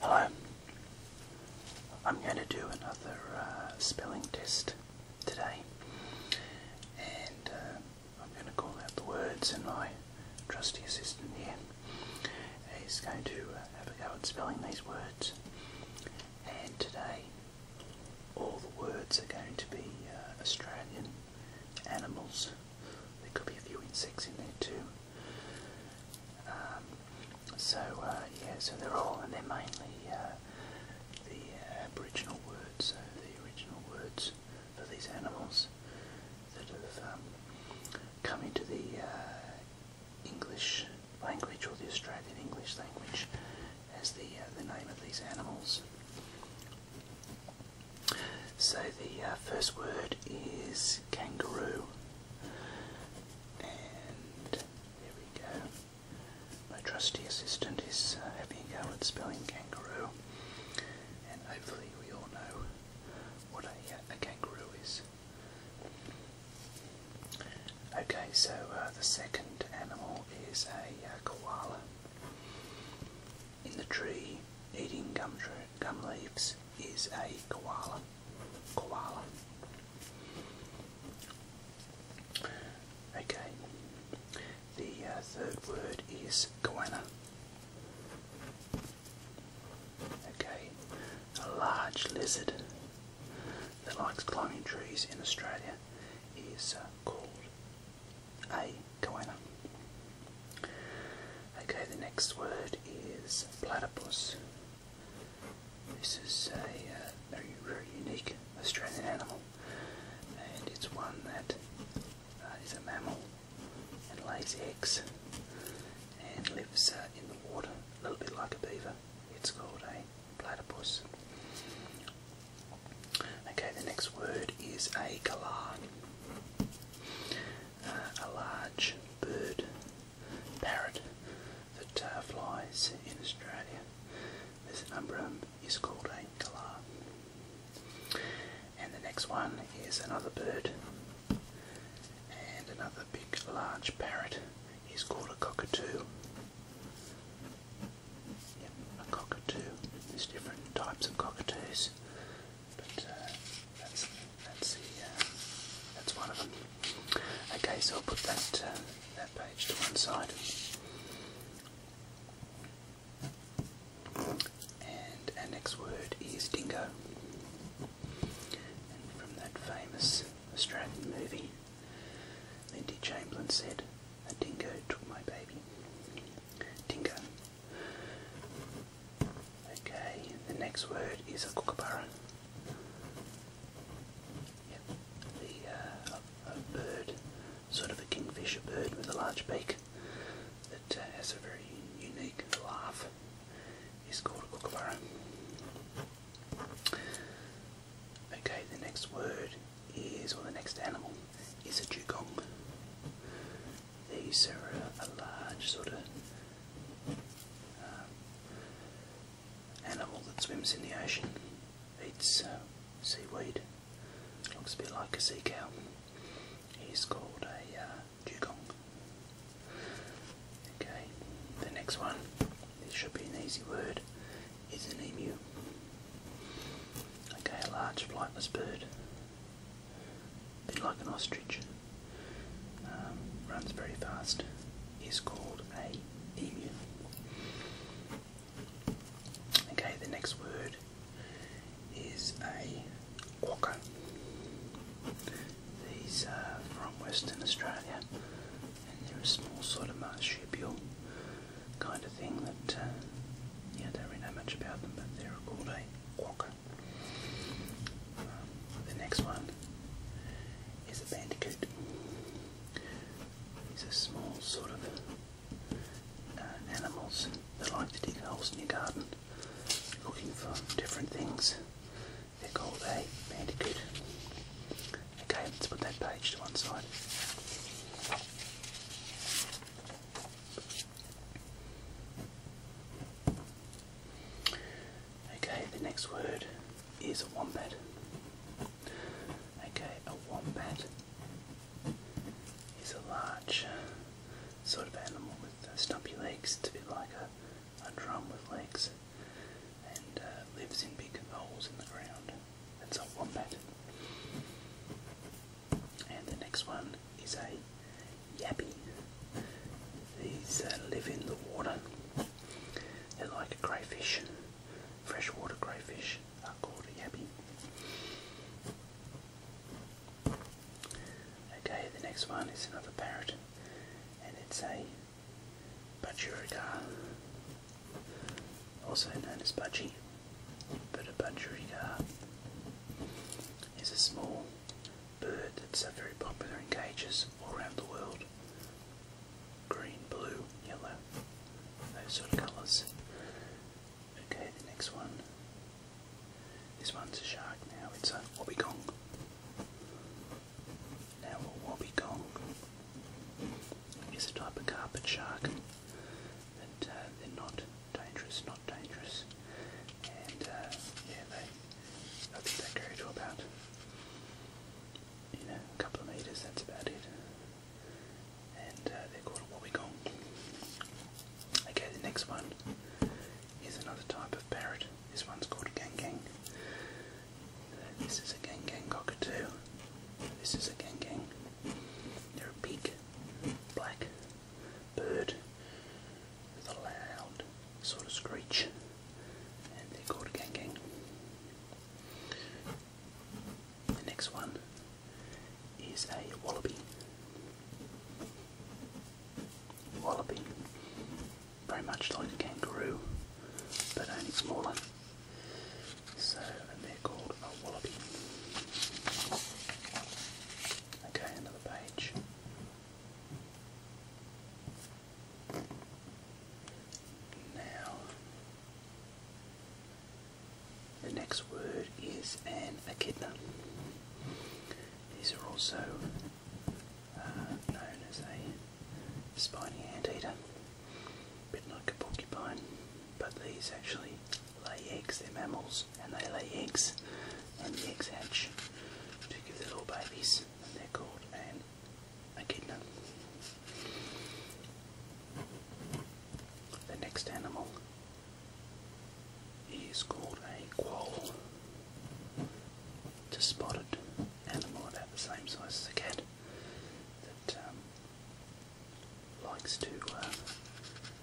Hello. I'm going to do another uh, spelling test today, and uh, I'm going to call out the words, and my trusty assistant here is going to uh, have a go at spelling these words. And today, all the words are going to be Australian animals. There could be a few insects in there too. Um, so uh, yeah, so they're all, and they're mainly uh, the uh, Aboriginal words, so the original words for these animals that have um, come into the English language or the Australian English language as the the name of these animals. So the uh, first word is kangaroo, and there we go. My trusty assistant is uh, having a go at spelling kangaroo, and hopefully we all know what a, uh, kangaroo is. Okay, so uh, the second animal is a koala in the tree eating gum, gum leaves is a koala. Koala. Okay. The uh, third word is koala. Okay. A large lizard that likes climbing trees in Australia is uh, called a koala. Okay, the next word is platypus. This is a uh, very, very unique Australian animal, and it's one that uh, is a mammal and lays eggs and lives uh, in the water, a little bit like a beaver. It's called a platypus. Okay, the next word is a galah a large bird parrot that uh, flies in Australia. This number um, is called a galah. And the next one is another bird, and another big large parrot is called a cockatoo. a cockatoo. There's different types of cockatoos. But uh, that's that's the uh, that's one of them. Okay, so I'll put that uh, that page to one side. And our next word is dingo. And from that famous Australian movie, Lindy Chamberlain said, A dingo took my baby. Dingo Okay, the next word is a kookaburra. Yep, the, uh, a, bird, sort of a kingfisher bird with a large beak that uh, has a very unique laugh, It's called a kookaburra. Okay, the next word is, or the next animal, is a dugong. These are a large sort of um, animal that swims in the ocean, eats uh, seaweed, looks a bit like a sea cow. He's called a uh, dugong. Okay, the next one, this should be an easy word, is an emu. Okay, a large flightless bird bit like an ostrich, um, runs very fast, is called a emu. Okay, the next word is a quokka. These are from Western Australia, and they're a small sort of marsupial kind of thing that uh, yeah, I don't really know much about them, but they're called a quokka. The next one is a bandicoot. These are small sort of uh, animals that like to dig holes in your garden looking for different things. They're called a bandicoot. Okay, let's put that page to one side. Okay, the next word is a wombat. Okay, a wombat is a large sort of animal with uh, stumpy legs. It's a bit like a, drum with legs and uh, lives in big holes in the ground. That's a wombat. And the next one is a Yabby. These uh, live in the water. They're like a crayfish. Freshwater crayfish are called a yabby. Okay, the next one is another parrot, and it's a budgerigar, also known as budgie. But a budgerigar is a small bird that's very popular in cages all around the world. Green, blue, yellow, those sort of colours. Okay, the next one. This one's a shark now, it's a wobbegong. Now a wobbegong is a type of carpet shark. And uh, they're not dangerous, not dangerous. And uh, yeah, they I think that grew to about, you know, a couple of metres, that's about it. And uh, they're called a wobbegong. Okay, the next one is another type of parrot. This one's called a this is a gang cockatoo. This is a gang They're big, black, bird with a loud sort of screech, and they're called gang The next one is a wallaby. Wallaby, very much like a kangaroo, but only smaller. So, and they're called a wallaby. Okay, another page. Now, the next word is an echidna. These are also uh, known as a spiny anteater, a bit like a porcupine, but these actually lay eggs, they're mammals, and they lay eggs and the egg's hatch to give their little babies, and they're called an The next animal is called a quoll. It's a spotted animal about the same size as a cat that um, likes to uh,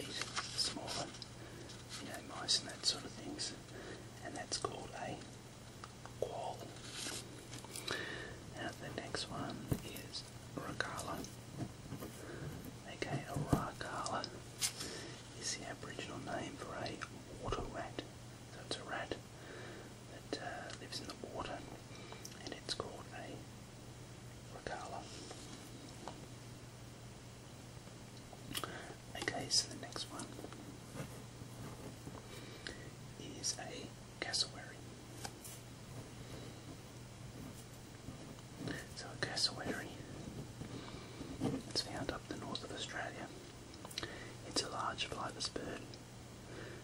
eat small ones you know, mice and that sort of things, and that's called a quoll. Now the next one is Rakala. Okay, a Rakala is the Aboriginal name for a water rat. So it's a rat that uh, lives in the water, and it's called a Rakala. Okay, so the next one is a cassowary. So a cassowary it's found up the north of Australia. It's a large flightless bird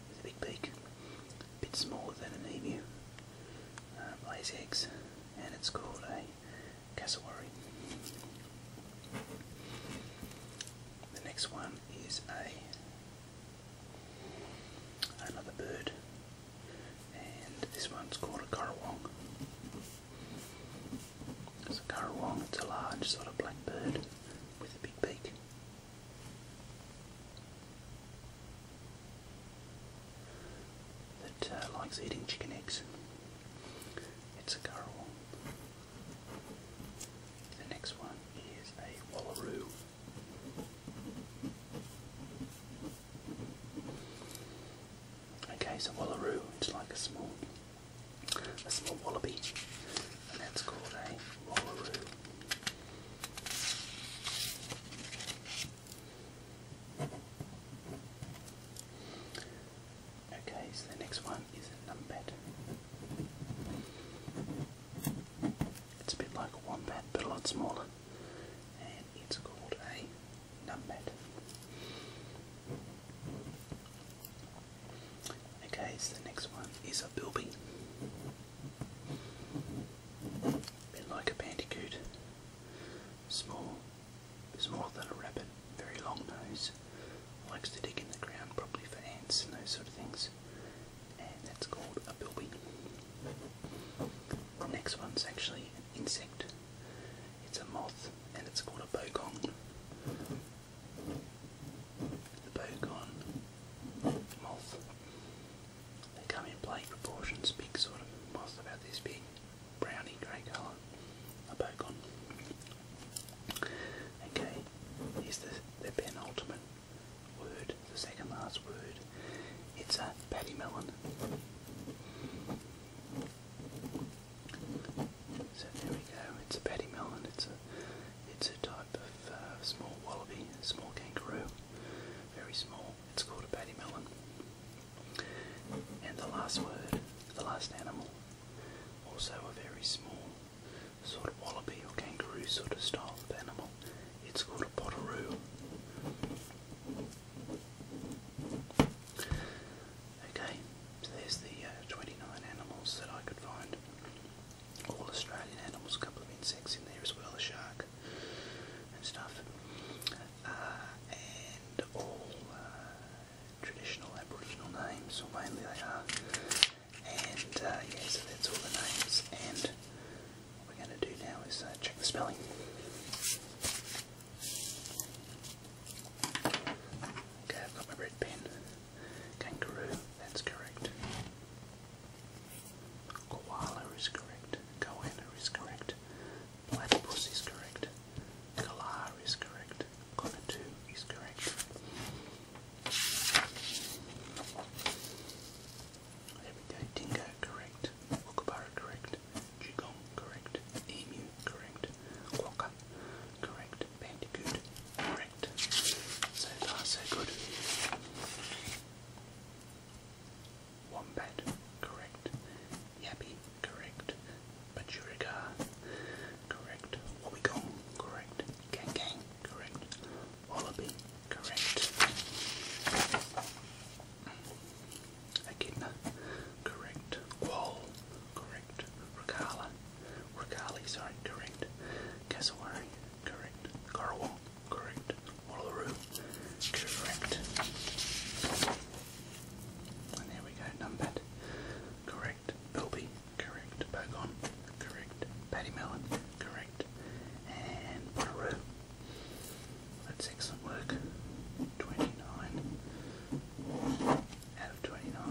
with a big beak, a bit smaller than an emu, um, It lays eggs, and it's called a cassowary. The next one is a another bird, and this one's called a currawong. It's a currawong. It's a large sort of black bird with a big beak. That uh, likes eating chicken eggs. It's a currawong. The next one is a Wallaroo. Okay, so Wallaroo It's like a small a small wallaby and that's called a Wallaroo. Okay, so the next one is a numpet. It's a bit like a wombat, but a lot smaller, and it's called a numpet. Okay, so the next one is a bilby. A bit like a bandicoot. Small, it's more than a rabbit, very long nose, likes to dig in the ground probably for ants and those sort of things, and that's called a bilby. next one's actually an insect, it's a moth and it's called a bogong. The bogon moth. They come in black proportions, big sort of moth about this big browny grey colour, a bacon. Okay, here's the, the penultimate word, the second last word. It's a paddy melon. So there we go. It's a patty melon. It's a it's a type of uh, small wallaby, small kangaroo, very small. It's called a paddy melon. And the last word, the last animal also a very small sort of wallaby or kangaroo sort of style of animal. It's called a potteroo. Okay, so there's the uh, 29 animals that I could find. All Australian animals, a couple of insects in there as well, a shark and stuff. Uh, and all uh, traditional Aboriginal names, or mainly they are. And uh, yeah, so that's all the names. And what we're going to do now is uh, check the spelling. Okay, I've got my red pen. Kangaroo, that's correct. Koala is correct. Goanna is correct. Platypus is correct. Galar is correct. Connor 2 is correct. There correct. Kookaburra, correct. Dugong, correct. Emu, correct. Quokka, correct. Bandicoot, correct. So far, so good. Wombat, correct. Yappy, correct. Pachurica, correct. Wobbegong, correct. Gang correct. Wallaby, correct. Echidna, correct. Quoll, correct. Ricala, Ricali, sorry, correct. Cassowary, correct. Corwal, correct. Wallaroo, correct. And there we go, numbered. Correct correct. Bilby, correct. Bogon, correct. Paddy Mellon, correct. And Bonnaroo. That's excellent work. 29 out of 29.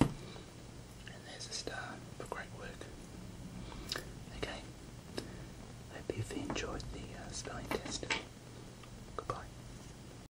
And there's a star for great work. Okay. Hope you've enjoyed the uh, spelling test. Goodbye.